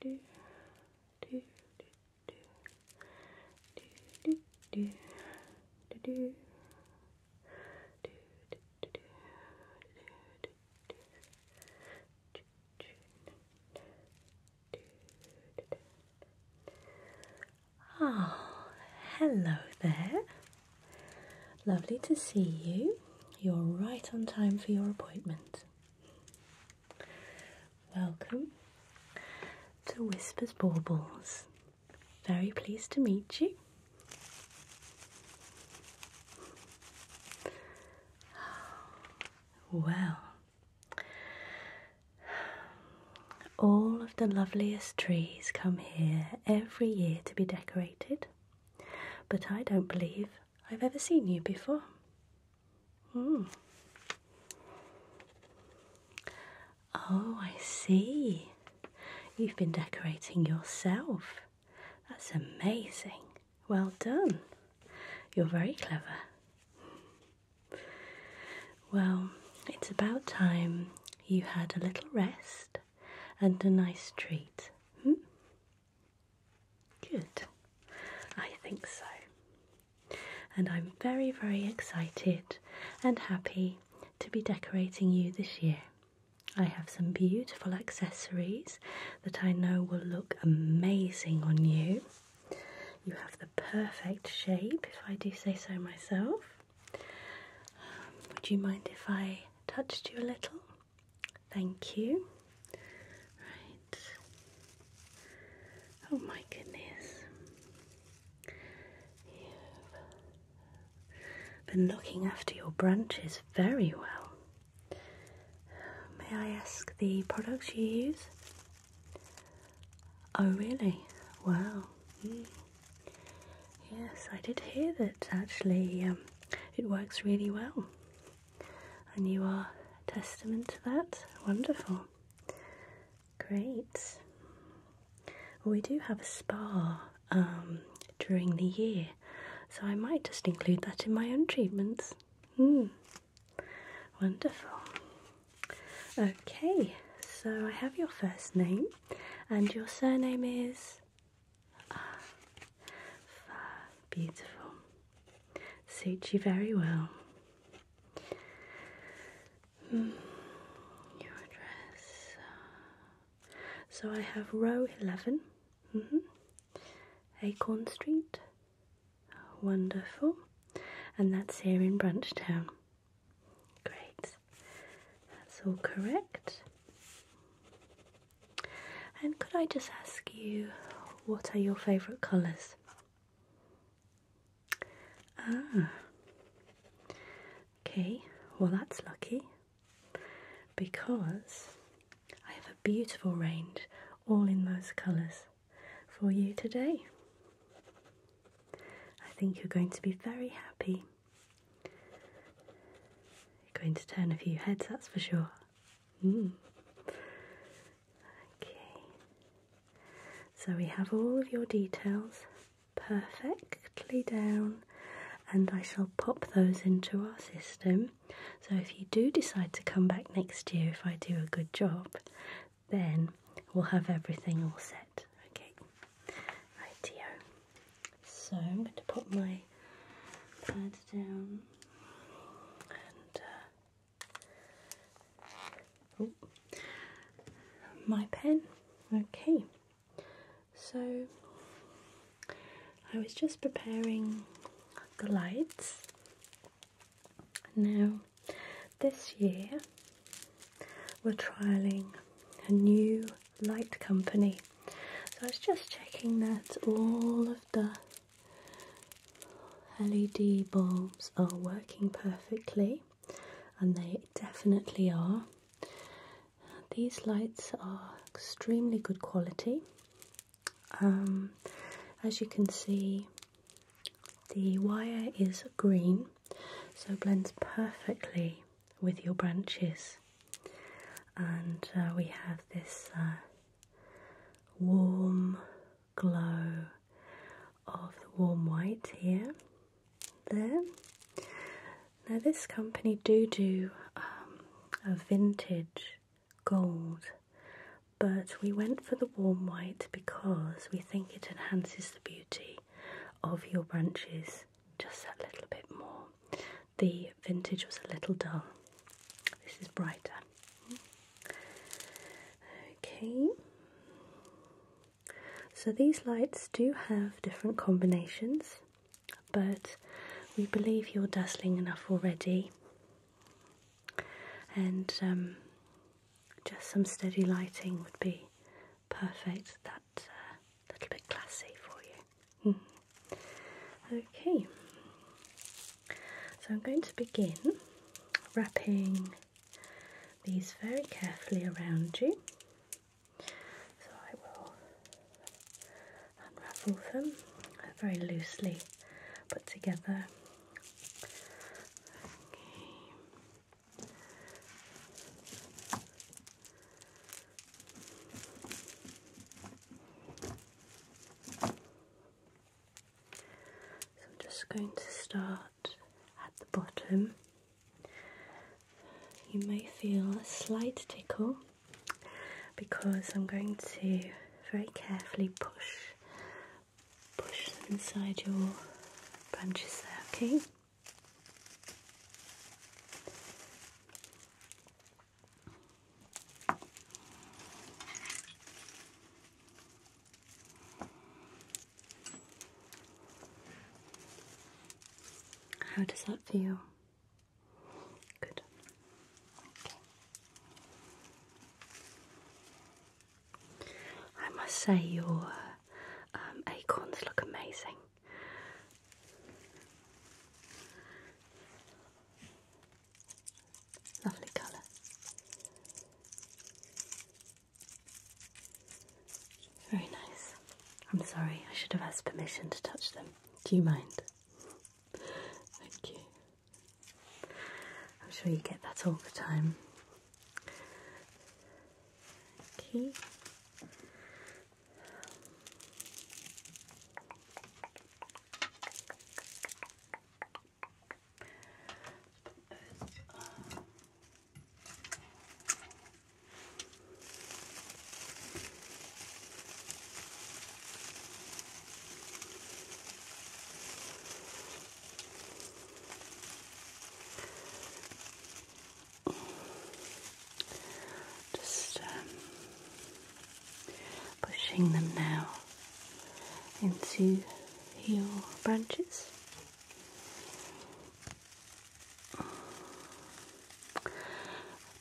do ah, hello there. Lovely to see you. You're right on time for your appointment. Welcome to Whispers Baubles. Very pleased to meet you. Well, all of the loveliest trees come here every year to be decorated, but I don't believe I've ever seen you before. Hmm. Oh, I see. You've been decorating yourself. That's amazing. Well done. You're very clever. Well, it's about time you had a little rest and a nice treat. Hmm? Good. I think so. And I'm very, very excited and happy to be decorating you this year. I have some beautiful accessories that I know will look amazing on you. You have the perfect shape, if I do say so myself. Um, would you mind if I touched you a little? Thank you. Right. Oh my goodness. You've been looking after your branches very well. May I ask the products you use? Oh, really? Wow. Hmm. Yes, I did hear that actually um, it works really well and you are a testament to that. Wonderful. Great. we do have a spa um, during the year, so I might just include that in my own treatments. Hmm. Wonderful. Okay, so I have your first name, and your surname is Ah, beautiful. Suits you very well. Hmm. your address. Uh, so I have row 11, mm-hmm. Acorn Street. Wonderful. And that's here in Brunchtown. Great. That's all correct. And could I just ask you, what are your favourite colours? Ah, okay, well, that's lucky because I have a beautiful range all in those colours for you today. I think you're going to be very happy. You're going to turn a few heads, that's for sure. Okay, so we have all of your details perfectly down, and I shall pop those into our system. So if you do decide to come back next year, if I do a good job, then we'll have everything all set. Okay, rightio. So I'm going to put my I it down and oh, my pen. Okay, so I was just preparing the lights. Now, this year we're trialing a new light company. So I was just checking that all of the LED bulbs are working perfectly, and they definitely are. These lights are extremely good quality. Um, as you can see, the wire is green, so blends perfectly with your branches. And uh, we have this uh, warm glow of the warm white here. There. Now, this company do do um, a vintage gold, but we went for the warm white because we think it enhances the beauty of your branches just that little bit more. The vintage was a little dull. This is brighter. Okay. So these lights do have different combinations, but we believe you're dazzling enough already. And um, just some steady lighting would be perfect. That uh, little bit classy for you. Mm-hmm. okay, so I'm going to begin wrapping these very carefully around you. So I will unravel them very loosely put together. So I'm just going to start at the bottom. You may feel a slight tickle because I'm going to very carefully push push them inside your branches there, okay? How does that feel? Good. I must say your um, acorns look amazing. Lovely colour. Very nice. I'm sorry, I should have asked permission to touch them. Do you mind? Thank you. I'm sure you get that all the time. Okay. Those are just um, pushing them now into your branches.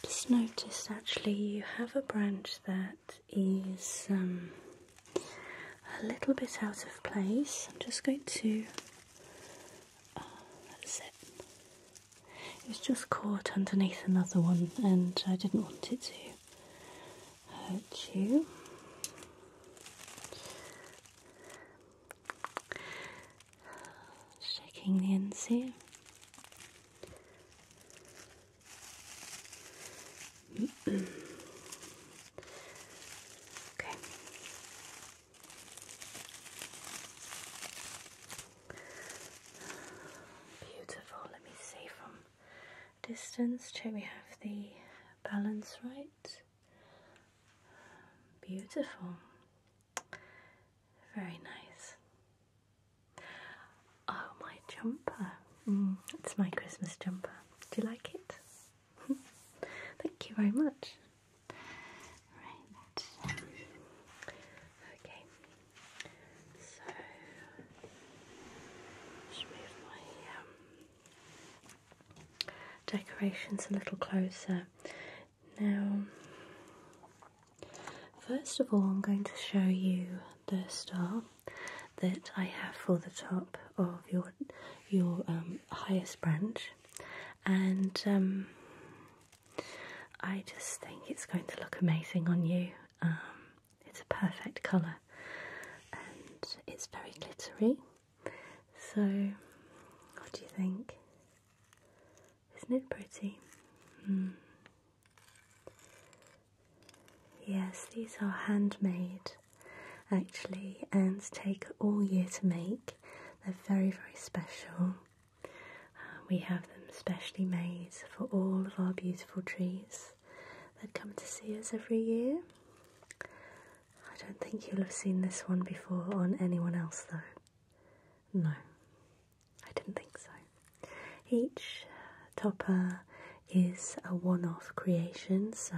Just noticed actually you have a branch that is um, a little bit out of place. I'm just going to uh, it was just caught underneath another one, and I didn't want it to hurt you. Shaking the ends here. okay. Beautiful. Let me see from distance. Check we have the balance right. Beautiful. Very nice. Oh, my jumper. Mm, it's my Christmas jumper. Do you like it? Thank you very much. Right. Okay. So, move my um, decorations a little closer. Now, first of all, I'm going to show you the star that I have for the top of your your um, highest branch, and um, I just think it's going to look amazing on you. Um, it's a perfect colour and it's very glittery. So, what do you think? Isn't it pretty? Hmm. Yes, these are handmade actually and take all year to make. They're very, very special we have them specially made for all of our beautiful trees that come to see us every year. I don't think you'll have seen this one before on anyone else, though. No, I didn't think so. Each topper is a one off creation, so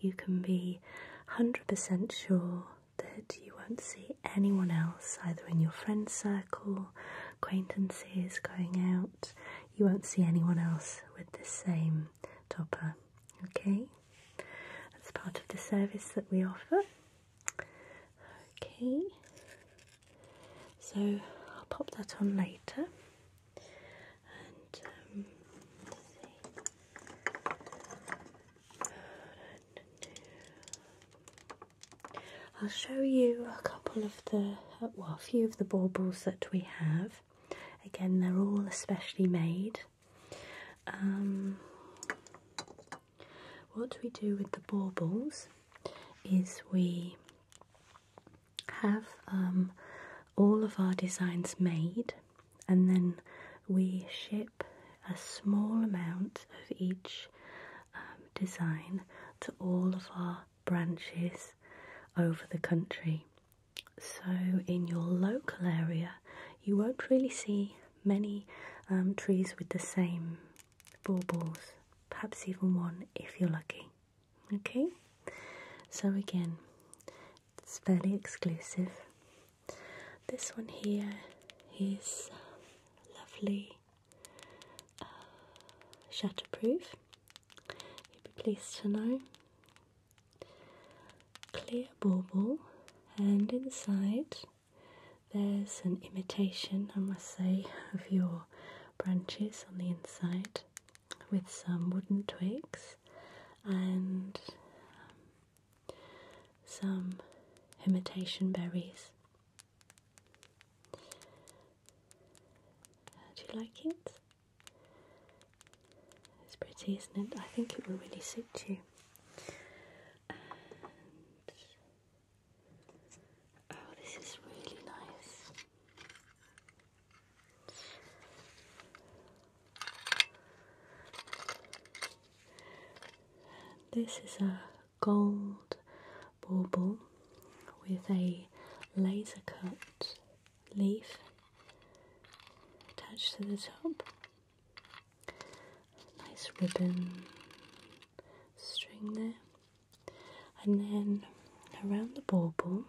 you can be 100% sure that you won't see anyone else, either in your friend's circle acquaintances going out, you won't see anyone else with the same topper. Okay, that's part of the service that we offer. Okay, so I'll pop that on later. Um, I'll show you a couple of the, uh, well, a few of the baubles that we have. Again, they're all especially made. Um, what we do with the baubles is we have um, all of our designs made and then we ship a small amount of each um, design to all of our branches over the country. So, in your local area, you won't really see many um, trees with the same baubles, perhaps even one if you're lucky. Okay, so again, it's fairly exclusive. This one here is lovely uh, shatterproof, you'd be pleased to know. Clear bauble, and inside there's an imitation, I must say, of your branches on the inside with some wooden twigs and um, some imitation berries. How uh, do you like it? It's pretty, isn't it? I think it will really suit you. oh, this is really nice. this is a gold bauble with a laser cut leaf attached to the top. Nice ribbon string there, and then around the bauble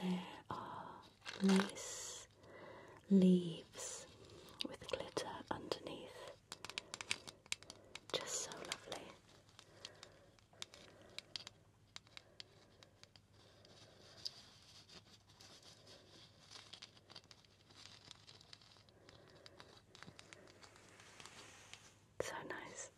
there are lace leaves with glitter underneath. Just so lovely. So nice.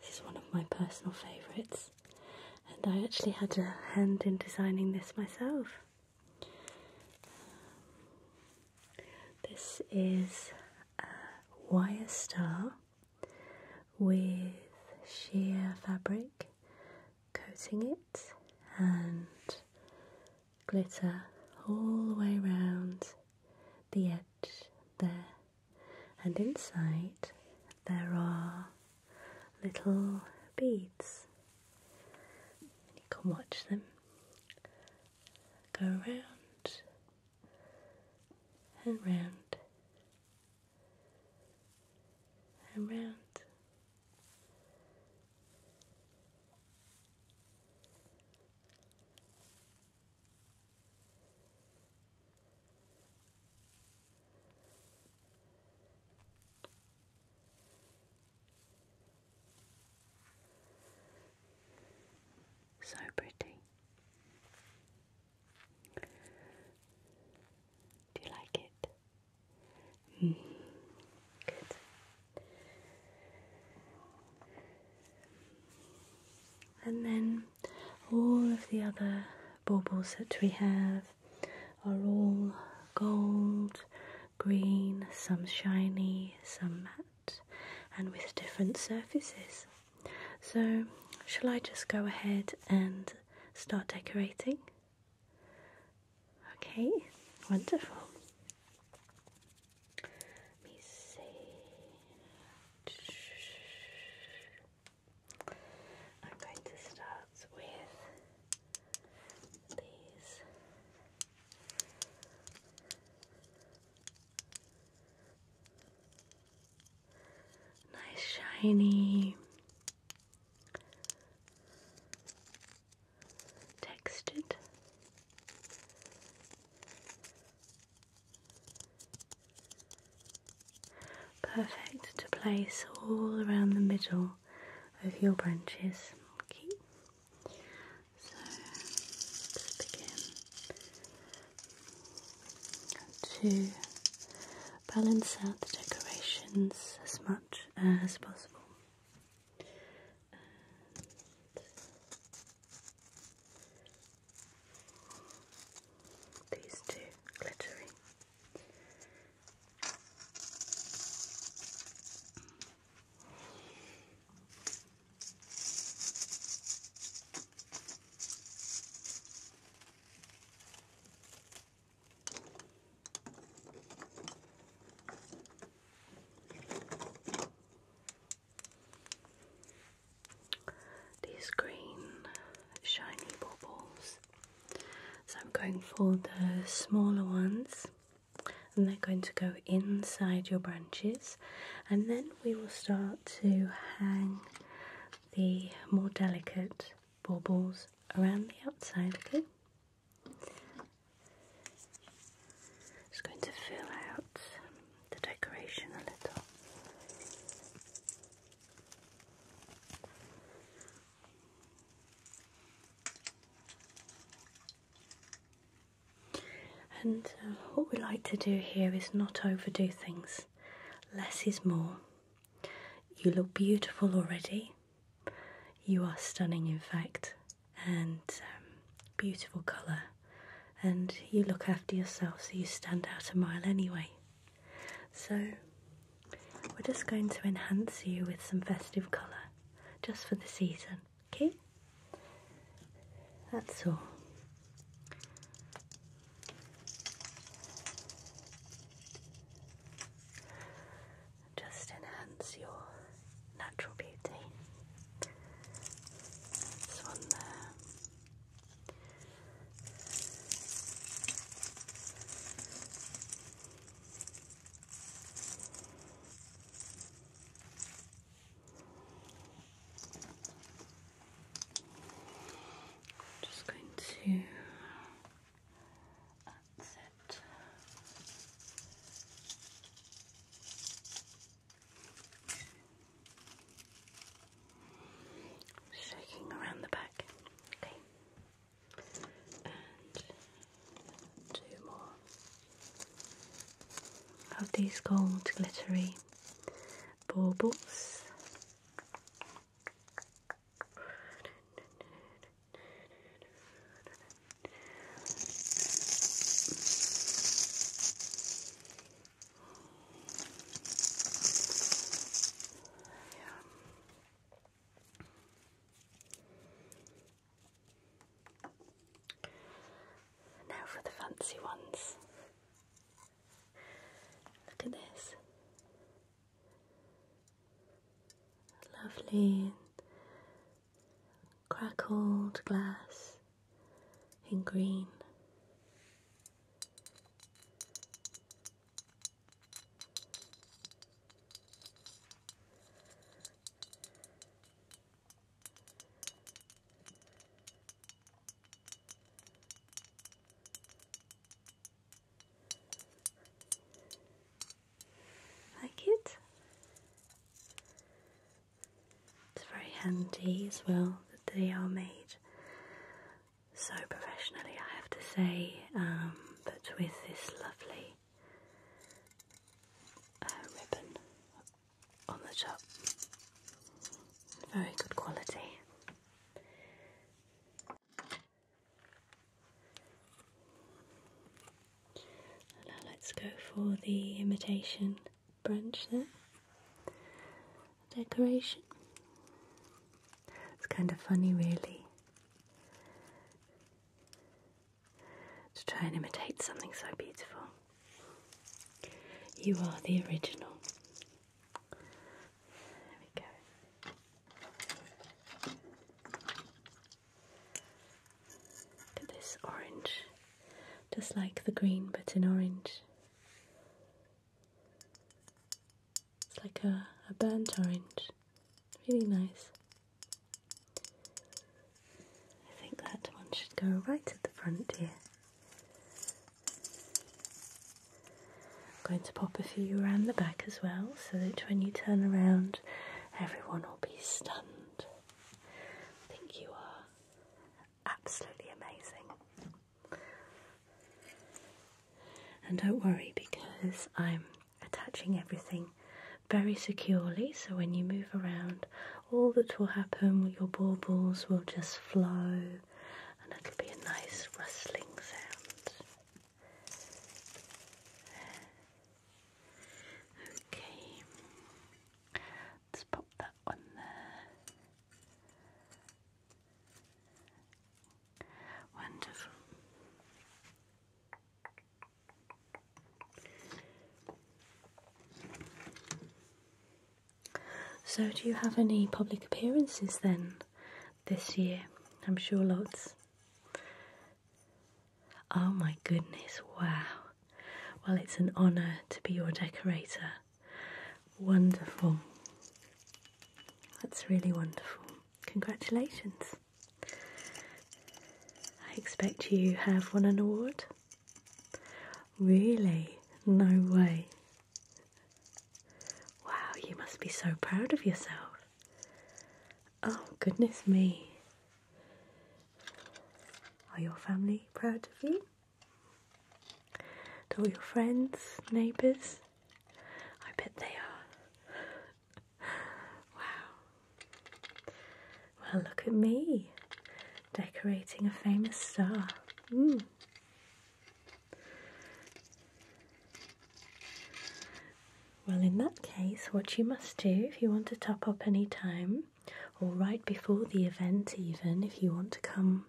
This is one of my personal favourites, and I actually had a hand in designing this myself. this is a wire star with sheer fabric coating it and glitter all the way around the edge there and inside there are little beads. You can watch them go round and round and round. So pretty. Do you like it? Mm-hmm. Good. And then all of the other baubles that we have are all gold, green, some shiny, some matte, and with different surfaces. So, shall I just go ahead and start decorating? Okay, wonderful. Let me see. I'm going to start with these. Nice shiny textured Perfect to place all around the middle of your branches. Okay. So let begin to balance out the decorations as much as possible. These two glittery these green shiny baubles. So I'm going for the smaller ones and they're going to go inside your branches and then we will start to hang the more delicate baubles around the outside, okay? Just going to fill out the decoration a little. And uh, what we like to do here is not overdo things. Less is more. You look beautiful already. You are stunning, in fact, and um, beautiful colour and you look after yourself so you stand out a mile anyway. So, we're just going to enhance you with some festive colour just for the season, okay? That's all. Just enhance your natural beauty. This one there. I'm just going to that's it. Shaking around the back. Okay. And two more of these gold glittery baubles. Now for the fancy ones. Look at this. Lovely crackled glass in green. Like it? It's very handy as well that they are made so professionally, I have to say, um, but with this lovely uh, ribbon on the top. Very good quality. Now let's go for the imitation branch there. decoration. It's kind of funny, really, to try and imitate something so beautiful. You are the original. There we go. Look this orange, just like the green, but in orange. It's like a, a burnt orange. Really nice. I think that one should go right at the front here. I'm going to pop a few around the back as well so that when you turn around everyone will be stunned. I think you are absolutely amazing. And don't worry because I'm attaching everything very securely so when you move around all that will happen your baubles will just flow and it'll be a nice rustling sound. Okay. Let's pop that one there. Wonderful. So, do you have any public appearances then this year? I'm sure lots. Oh my goodness, wow. Well, it's an honour to be your decorator. Wonderful. That's really wonderful. Congratulations. I expect you have won an award. Really? No way. Wow, you must be so proud of yourself. Oh, goodness me. Are your family proud of you? To all your friends, neighbours? I bet they are. wow. Well, look at me decorating a famous star. Mm. Well, in that case, what you must do if you want to top up any time, or right before the event, even if you want to come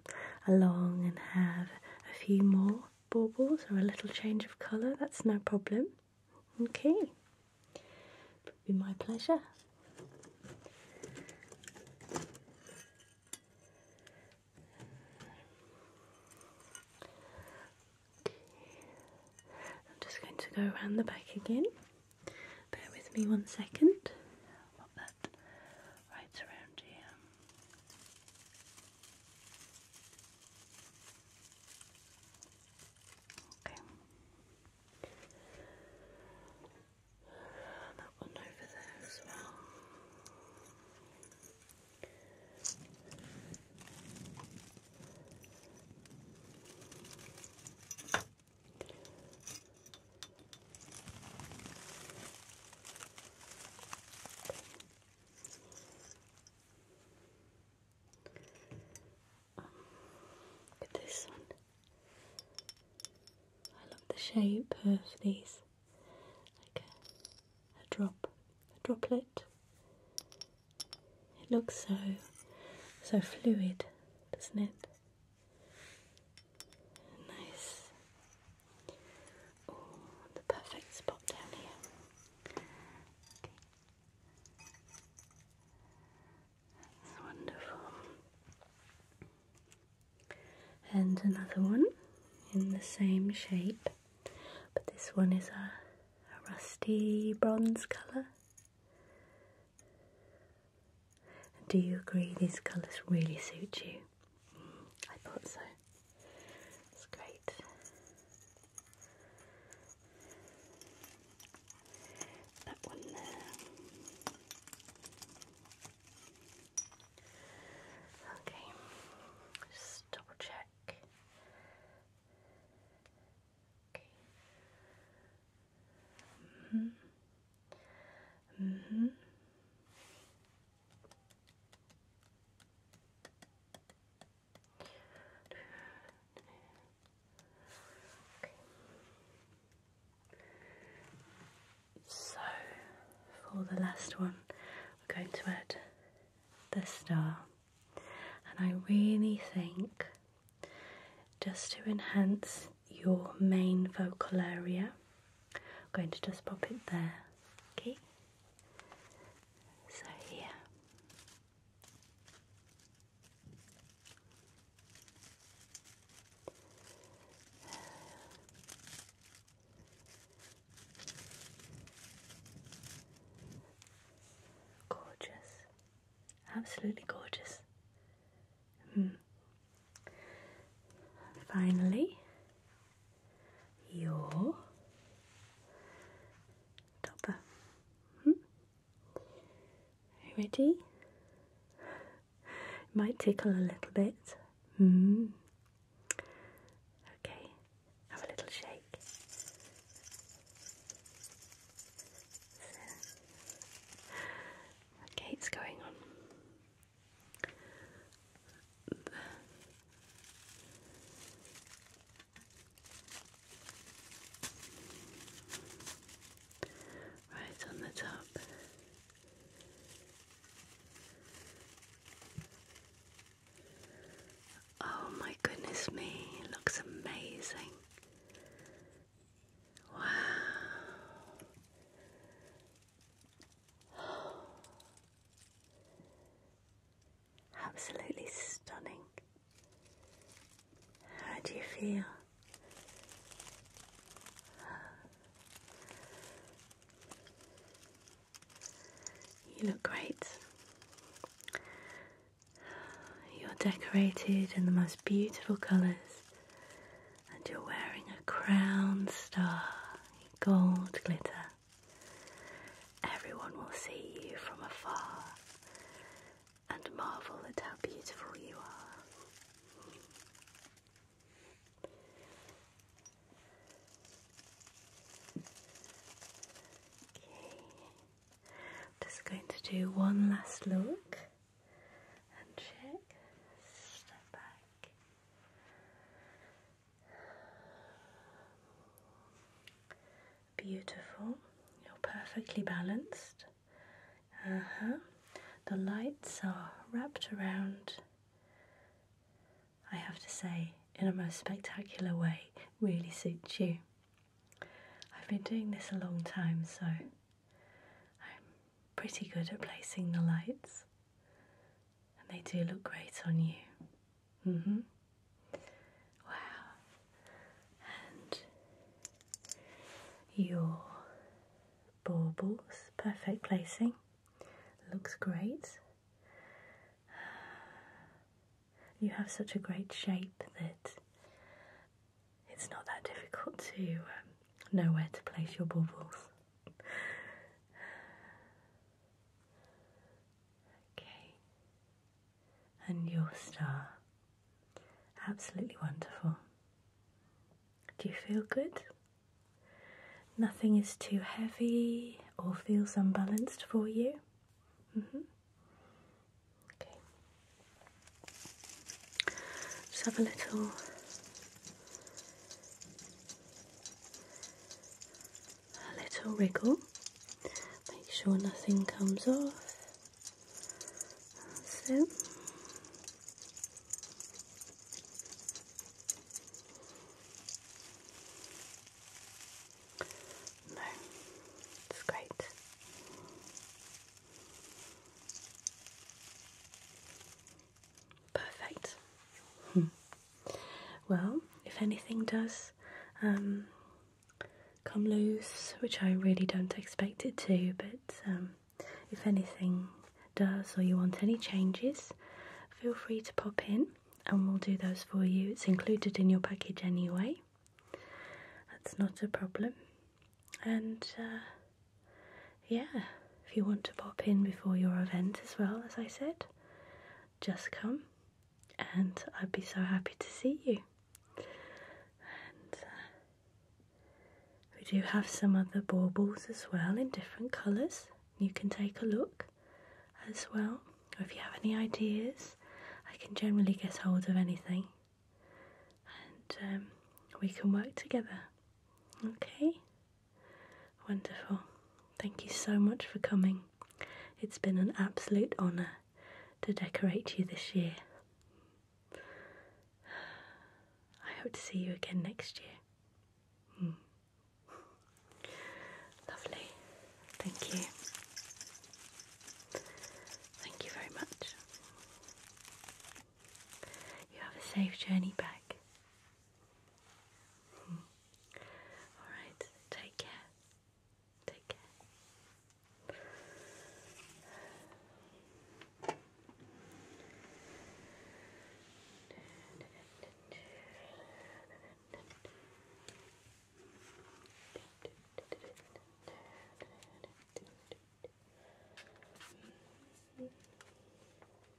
along and have a few more baubles or a little change of colour, that's no problem. Okay, it would be my pleasure. I'm just going to go around the back again. Bear with me one second that right around here. Okay. Uh, that one over there as well look at this one. I love the shape of these, like a drop, a droplet. It looks so, so fluid, doesn't it? Nice. the perfect spot down here. wonderful. And another one in the same shape, but this one is a rusty bronze colour do you agree these colours really suit you? I thought so. It's great. That one there. Okay, double check. Okay. Mm-hmm. Mm-hmm. So, for the last one, we're going to add the star, and I really think just to enhance your main vocal area. I'm going to just pop it there, okay? So here. Gorgeous, absolutely gorgeous. Mm. Finally, your topper. Hmm? Ready? might tickle a little bit. Hmm. Okay, have a little shake. Okay, it's going on right on the top. Oh my goodness me, it looks amazing. Wow. Absolutely stunning. How do you feel? You look great. You're decorated in the most beautiful colours and you're wearing a crown star gold glitter. Everyone will see you from afar and marvel at how beautiful you are. just going to do one last look and check. Step back. Beautiful. You're perfectly balanced. Uh huh. The lights are wrapped around. I have to say, in a most spectacular way, really suits you. I've been doing this a long time, so I'm pretty good at placing the lights, and they do look great on you. hmm. Wow. And your baubles, perfect placing, looks great. You have such a great shape that it's not that difficult to um, know where to place your baubles. Okay. And your star. Absolutely wonderful. Do you feel good? Nothing is too heavy or feels unbalanced for you? -hmm. Okay. Just have a little a little wriggle, make sure nothing comes off. That's No, it's great. Perfect. well, if anything does um, come loose, which I really don't expect it to, but um, if anything does or you want any changes, feel free to pop in and we'll do those for you. It's included in your package anyway. That's not a problem. And uh, yeah, if you want to pop in before your event as well, as I said, just come and I'd be so happy to see you. And uh, we do have some other baubles as well in different colours. You can take a look as well, if you have any ideas, I can generally get hold of anything and um, we can work together. Okay? Wonderful. Thank you so much for coming. It's been an absolute honour to decorate you this year. I hope to see you again next year. Hmm. Lovely. Thank you. Thank you very much. You have a safe journey back. Hmm. Alright, take care. Take care.